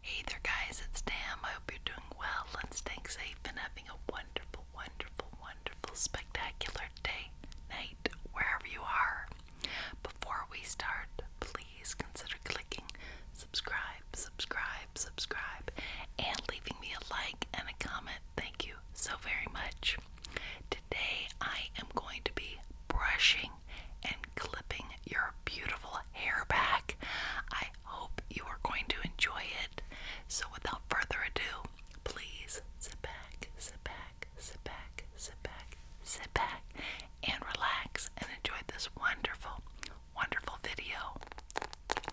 Hey there, guys, it's Tam. I hope you're doing well and staying safe and having a wonderful, wonderful, wonderful, spectacular day, night, wherever you are. Before we start, please consider clicking subscribe, subscribe, subscribe, and leaving me a like and a comment. Thank you so very much. Today, I am going to be brushing and clipping your beautiful hair back. I hope you are going to enjoy it. So, without further ado, please sit back, sit back, sit back, sit back, sit back, and relax and enjoy this wonderful, wonderful video.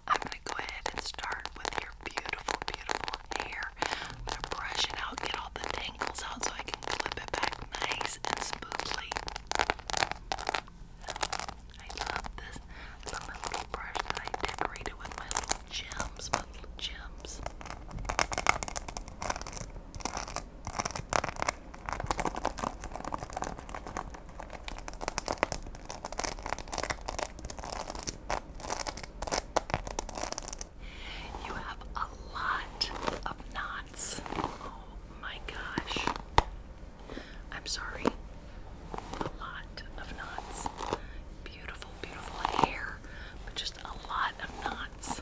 I'm going to go ahead and start with your beautiful, beautiful hair. I'm going to brush it out, get all the tangles out so I can clip it back nice and smoothly. I love this. little brush that I decorated with my little gems, my little gems. You have a lot of non Oh my gosh. I'm sorry. A lot of knots. Beautiful, beautiful hair, but just a lot of knots.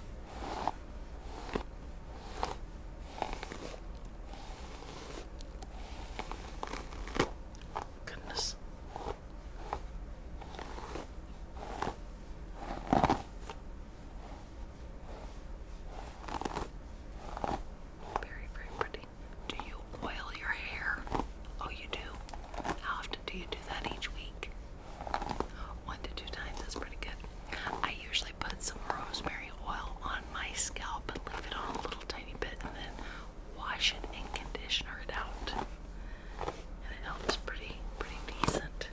Goodness. Very, very pretty. Do you oil your hair? Oh, you do? How often do you do that each week? One to two times, that's pretty good. I usually put some rosemary oil on my scalp and leave it on a little tiny bit and then wash it and conditioner it out. And it helps pretty, pretty decent.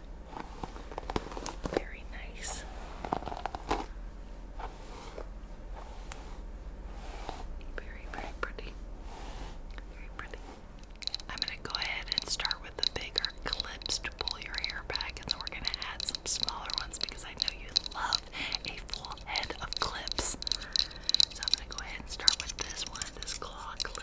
Very nice. Very, very pretty. Very pretty. I'm going to go ahead and start with the bigger clips to pull your hair back, and then we're going to add some smaller ones because I know you love a full head of clips. So I'm going to go ahead and start with this one, this claw clip.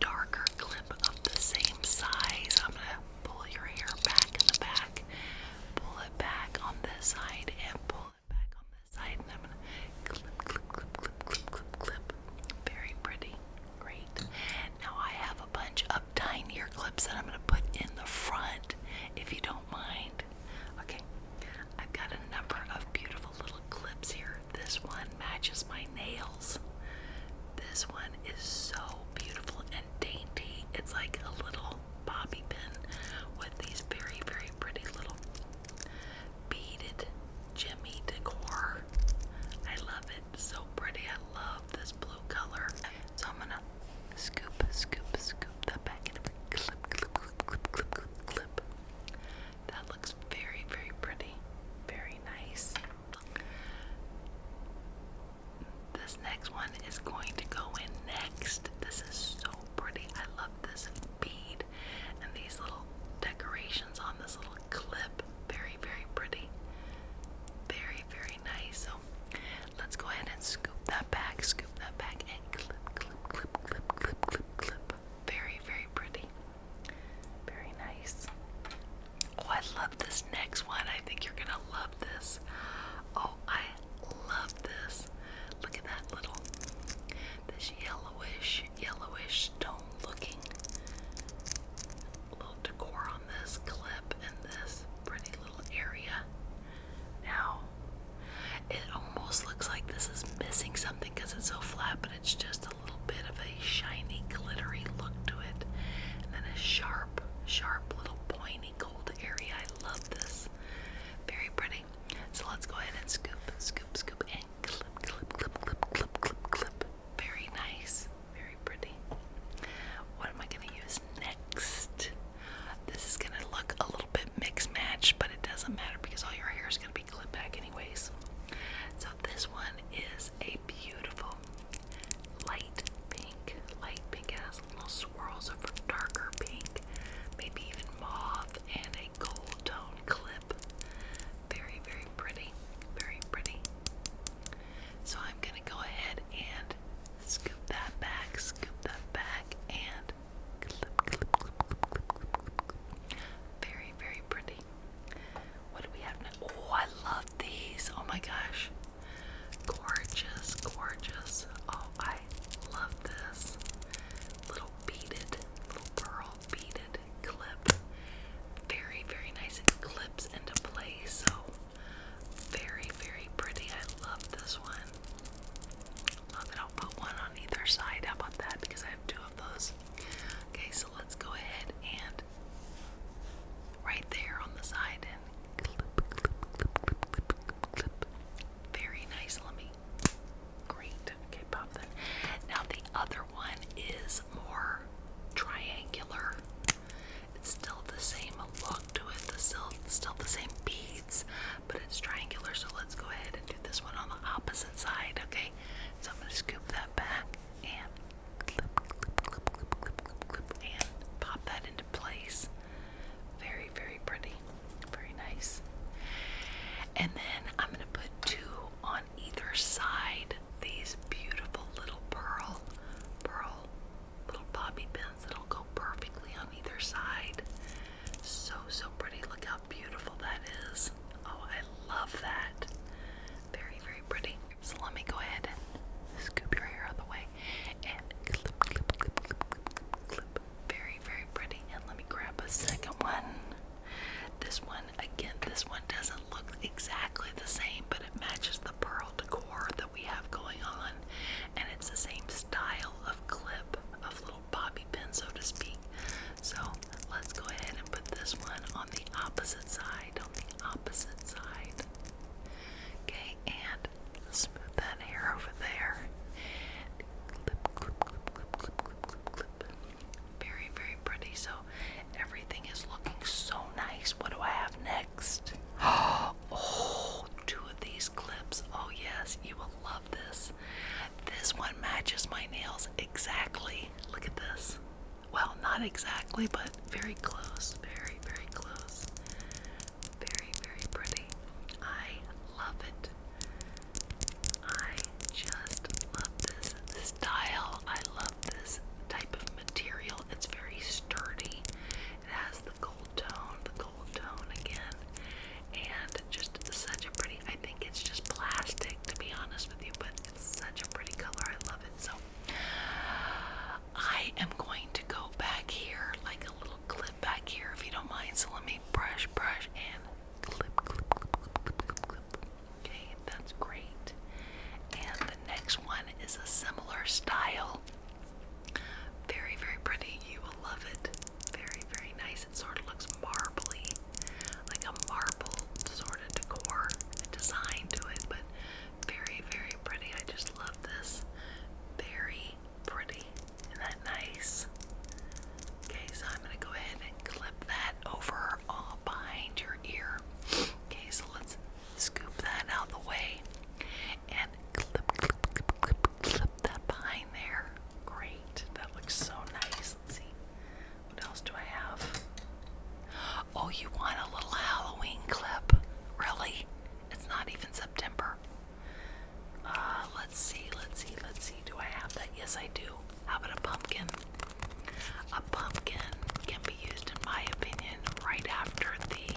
darker clip of the same size. I'm gonna pull your hair back in the back, pull it back on this side, and pull it back on this side. And I'm gonna clip, clip, clip, clip, clip, clip, clip. Very pretty. Great. Now I have a bunch of tinier clips that I'm gonna put in the front, if you don't mind. Okay. I've got a number of beautiful little clips here. This one matches my nails. This one is so beautiful and dainty. It's like a little bobby pin with these very, very pretty little beaded jimmy decor. I love it. so pretty. I love this blue color. So I'm gonna scoop, scoop, scoop that back and clip, clip, clip, clip, clip, clip. That looks very, very pretty. Very nice. This next one is going to go in next. This is so pretty. I love this bead and these little decorations on this little clip. Very, very pretty. Very, very nice. So let's go ahead and scoop that back, scoop that back, and clip, clip, clip, clip, clip, clip, clip. Very, very pretty. Very nice. Oh, I love this next one. I think you're gonna love this. Oh, I love this. Look at that little, this yellowish, yellowish stone looking little decor on this clip in this pretty little area. Now, it almost looks like this is missing something because it's so flat, but it's just a little bit of a shiny, glittery look to it, and then a sharp, sharp little pointy gold area. I love this. Very pretty. So let's go ahead and scoop, scoop, scoop, and clip, clip, clip, clip, clip, clip, clip. Very nice. Very pretty. What am I going to use next? This is going to look a little bit mixed match, but it doesn't matter because all your hair is going to be clipped back, anyways. So, this one is a beautiful light pink, light pink. has little swirls of a darker pink, maybe even mauve, and a gold tone clip. Very, very pretty. Very pretty. So I'm gonna go ahead and scoop that back, scoop that back, and Very, very pretty. What do we have now? Oh, I love these. Oh my gosh. Gorgeous, gorgeous. Oh, I love this. Little beaded, little pearl beaded clip. Very, very nice. clips into place. So very, very pretty. I love this one. Love it. I'll put one on either side. How about that? Because I have two of those Okay, so let's go ahead and right there on the side and clip, clip, clip, clip, clip, clip. Very nice. Let me. Great. Okay, pop that. Now the other one is more triangular. It's still the same look to it. The still still the same beads, but it's triangular. So let's go ahead and do this one on the opposite side. Okay. So I'm gonna scoop that back and and pop that into place. Very, very pretty. Very nice. And then I'm going to put two on either side. These beautiful little pearl, pearl little bobby pins that'll go perfectly on either side. So, so pretty. Look how beautiful that is. Oh, I love that. Very, very pretty. So let me go ahead and scoop your hair out of the way and clip, clip, clip, clip, clip. Very, very pretty. And let me grab a second one. This one, again, this one doesn't look exactly the same, but it matches the pearl decor that we have going on. And it's the same style of clip, of little bobby pin, so to speak. So let's go ahead and put this one on the opposite side on the opposite side. Okay, and let that hair over there. Very, very pretty. So everything is looking so nice. What do I have next? Oh, two of these clips. Oh, yes, you will love this. This one matches my nails exactly. Look at this. Well, not exactly, but very close. Very, very close. Very, very pretty. I love it. I just love this style. I love this type of material. It's very sturdy. It has the gold tone, the gold tone again, and just such a pretty. I think it's just plastic, to be honest with you, but it's such a pretty color. I love it. So I am going to go back here, like a little clip back here, if you don't mind. So let me brush, brush, and clip, clip, clip, clip, clip, clip. Okay, that's great. And the next one is a similar style. Very, very pretty. You will love it. Very, very nice. It sort of looks marbly, like a marble sort sort of decor and design to it, but very, very pretty. I just love this. Very pretty. Isn't that nice? Okay, so I'm going to go ahead and clip that over all behind your ear. Okay, so let's scoop that out of the way and clip, clip, clip, clip, clip that behind there. Great. That looks so nice. Let's see. What else do I have? Oh, you want a little Halloween clip? Really? It's not even September. Uh, let's see, let's see, let's see. Do I have that? Yes, I do. How about a pumpkin? A pumpkin can be used, in my opinion, right after the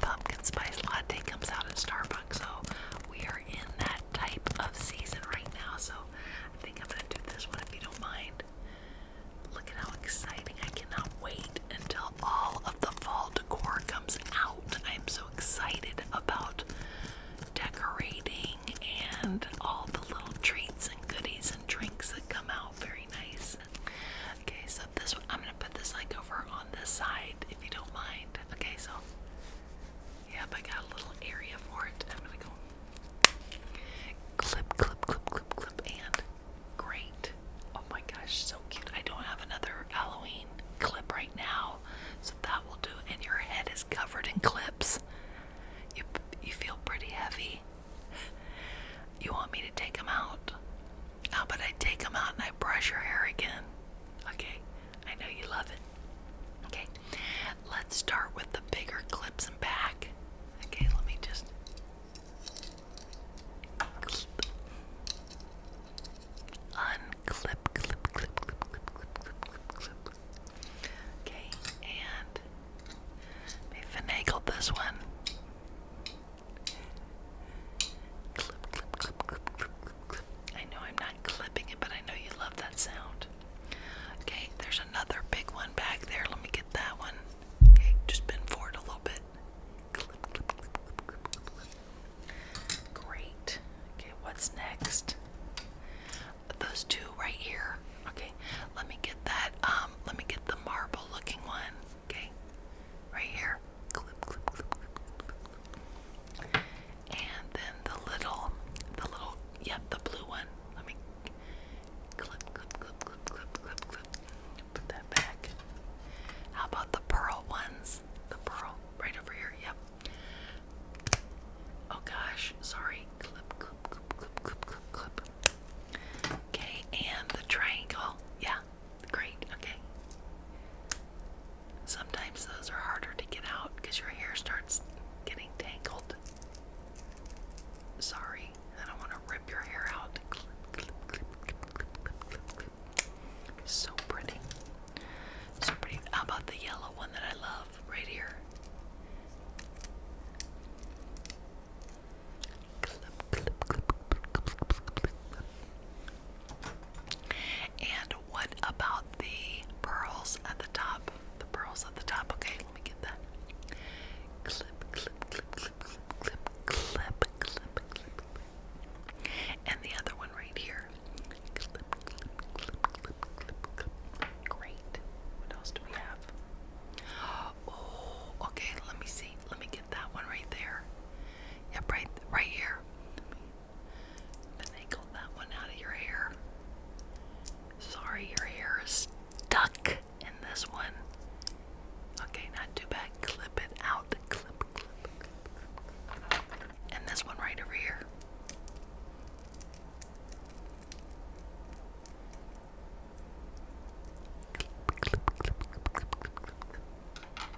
pumpkin spice latte comes out at Starbucks. So we are in that type of season right now. So I think I'm going to do this one if you don't mind. Look at how exciting. I cannot wait until all of the fall decor comes out. I'm so excited about decorating and all the little treats and goodies and drinks that come out. Very nice. Okay, so this one, I'm going to put this like over on this side if you don't mind. Okay, so yep, I got a little area for it. I'm going to go Clip, clip, clip, clip, clip, and great. Oh my gosh, so cute. I don't have another Halloween clip right now, so that will do. And your head is covered in clips. You, you feel pretty heavy. You want me to take them out? How about I take them out and I brush your hair again? Okay, I know you love it. Okay, let's start with the bigger clips and back. Okay, let me just unclip, clip, clip, clip, clip, clip, clip, clip. Okay, and they finagled this one. Clip, clip, clip, clip, clip, clip. I know I'm not clipping it, but I know you love that sound left. Okay, there's another big one back there. Let me get that one. Okay, just bend forward a little bit. Clip, clip, clip, clip, clip, clip. Great. Okay, what's next? Those two right here. Okay, let me get that. Um, let me get the marble looking one. Okay, right here. Clip, clip, clip, clip, clip. And then the little, the little, yep, the blue one. Let me Clip, clip, clip, clip, clip, clip, clip. Put that back. How about the pearl ones? The pearl right over here. Yep. Oh gosh, sorry. clip, clip, clip, clip, clip, clip. Okay, and the triangle. Yeah, great. Okay. Sometimes those are harder to get out because your hair starts getting tangled. Sorry, I don't want to rip your hair out. So pretty. So pretty. How about the yellow one that I love right here? And what about the pearls at the top? The pearls at the top, okay. Let me get that. Clip, clip, clip, clip, clip, clip, clip, clip, clip. And the other one right here. Clip, clip, clip, clip, clip, clip. Great. What else do we have? Oh, okay. Let me see. Let me get that one right there. Yep, right, right here. Let me angle that one out of your hair. Sorry, your hair is duck in this one. Okay, not too bad. Clip it out. Clip, clip, And this one right over here.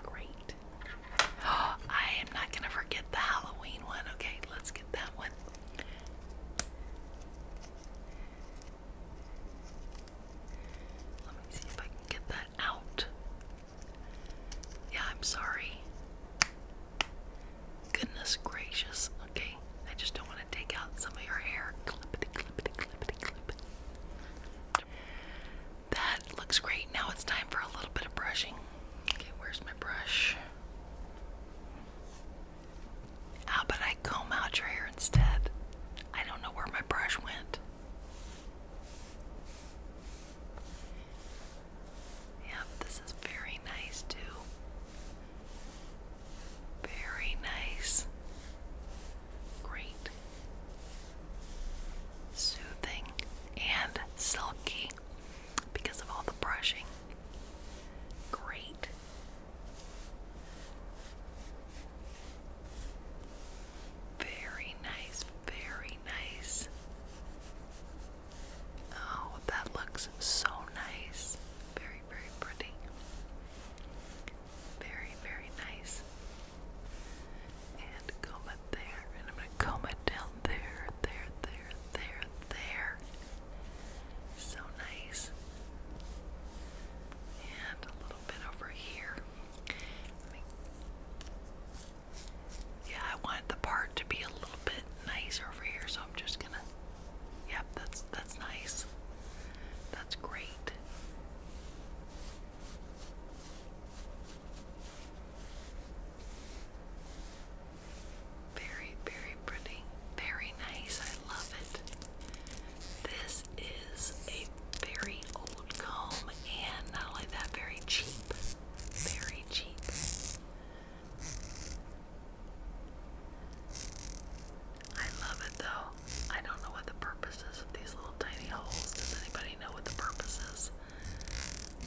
Great. I am not going to forget the Halloween one. Okay, let's get that one. Let me see if I can get that out. Yeah, I'm sorry. Goodness gracious. Okay, I just don't want to take out some of your hair. That looks great. Now it's time for a little bit of brushing. where's my brush? How about I comb out your hair instead? I don't know where my brush went. Yep, this is very nice too. Very nice. Great. Soothing and silky because of all the brushing. Great. Very nice, very nice. Oh, that looks so nice. Very, very pretty. Very, very nice. And comb it there, and I'm going to comb it down there, there, there, there, there, so nice. And a little bit over here. Yeah, I wanted the part to be a little bit nicer over here, so I'm just gonna. Yep, that's that's nice. That's great. Very, very pretty. Very nice. I love it. This is a very old comb and not only that, very cheap. Very cheap. I love it though. I don't know what the purpose is of these little tiny holes. Does anybody know what the purpose is?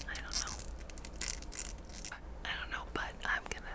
I don't know. I don't know, but I'm gonna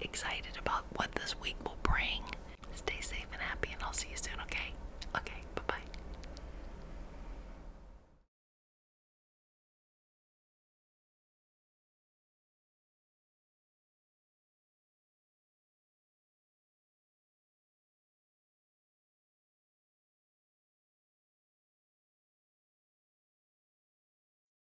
excited about what this week will bring. Stay safe and happy, and I'll see you soon, okay? Okay, bye bye.